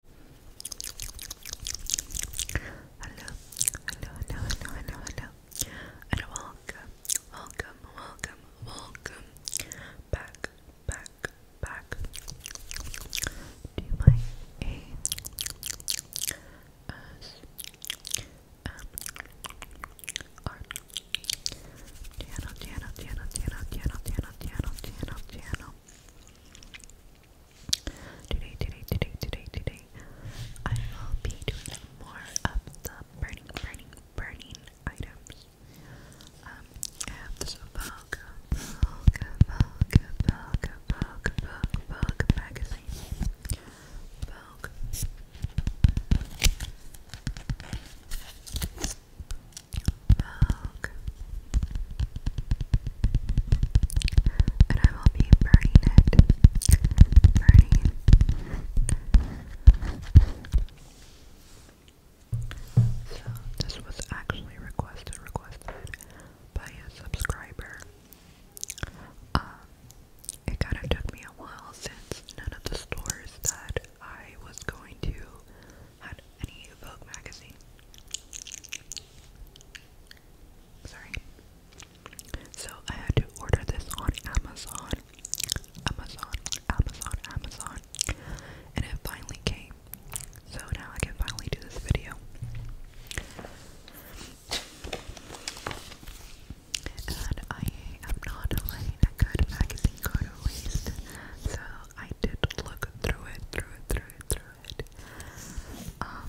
hello, hello, hello, hello, hello, and welcome, welcome, welcome, welcome back, back, back to my A S M R channel, channel, channel, channel, channel, channel, Today, today, today, today, today, I will be doing more of the burning, burning, burning items. Um, I have this Vogue, Vogue, Vogue, Vogue, Vogue, Vogue, Vogue magazine. Vogue. Milk. And I will be burning it. Burning. So, this was actually requested, requested by a subscriber. Um, it kind of took me a while since none of the stores that I was going to had any Vogue magazine. Sorry. So I had to order this on Amazon. Amazon, Amazon, Amazon. And it finally came. So now I can finally do this video. And I am not letting a good magazine go to waste. So I did look through it, through it, through it, through it. Um,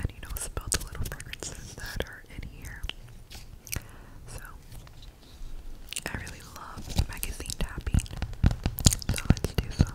and you know, smelled the little fragrances that are in here. So, I really love magazine tapping. So, let's do some.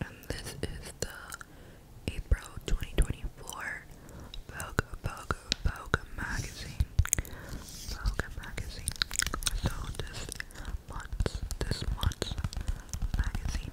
and this is the April 2024 Vogue, Vogue, Vogue magazine. Vogue magazine. So this month's, this month's magazine.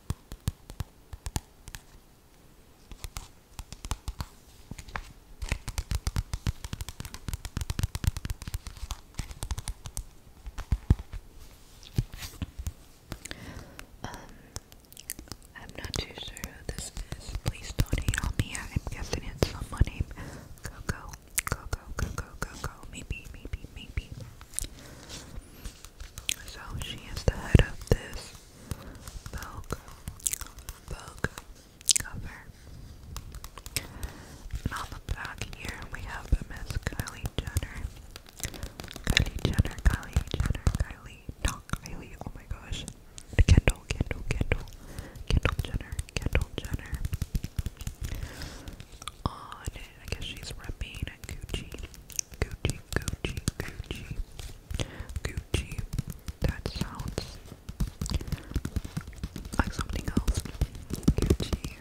Um, I'm not too sure who this is. Please don't hate on me. I'm guessing it's someone named Coco. Coco, Coco, Coco. Maybe, maybe, maybe. So she is the head of this Vogue, Vogue cover. And on the back here we have Miss Kylie Jenner. Kylie Jenner, Kylie Jenner, Kylie, oh my gosh. Kendall, Kendall, Kendall, Kendall Jenner, Kendall Jenner. On, I guess she's repping Gucci, Gucci, Gucci, Gucci, Gucci, Gucci. That sounds like something else. Gucci.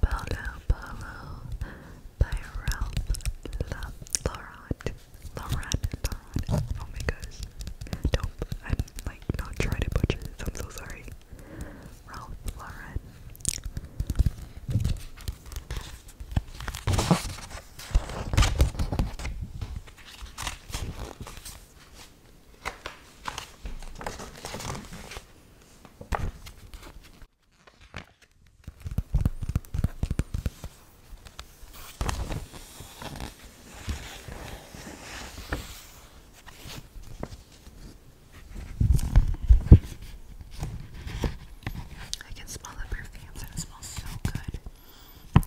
Bolo Bolo by Ralph Lauren. Lauren, Lauren. Oh my gosh. Don't, I'm like not trying to butcher this, I'm so sorry. Ralph Lauren. I can smell the perfumes and it smells so good. Dior,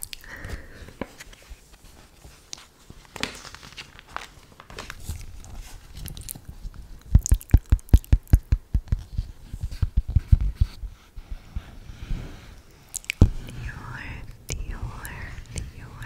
Dior, Dior. Dior.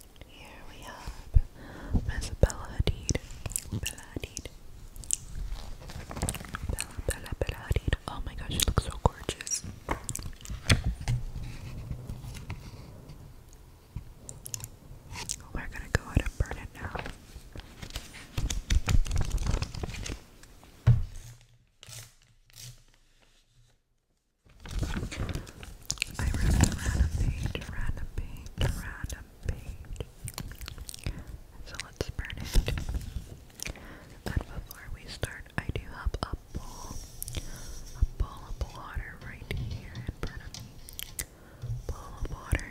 Here we have Miss Bella Hadid. Bella Hadid. Bella, Bella, Bella Hadid. Oh my gosh, she looks so gorgeous. We're gonna go ahead now. I read the random page, random page, random page. So let's burn it. But before we start, I do have a bowl, a bowl of water right here in Bowl of water.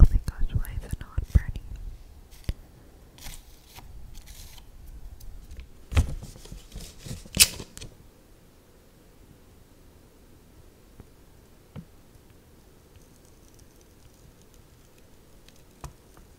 Only oh God's wife and not Bernie.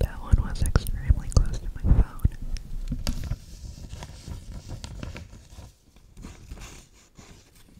That was one was extremely close to my phone.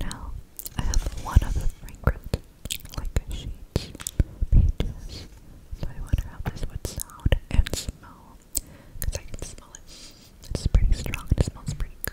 Now I have one other fragrant, like a pages. So I wonder how this would sound and smell, because I can smell it. It's pretty strong. It smells pretty good.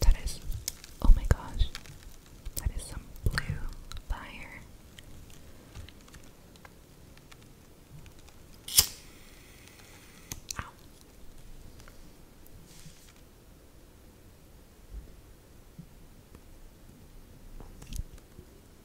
That is, oh my gosh, that is some blue fire.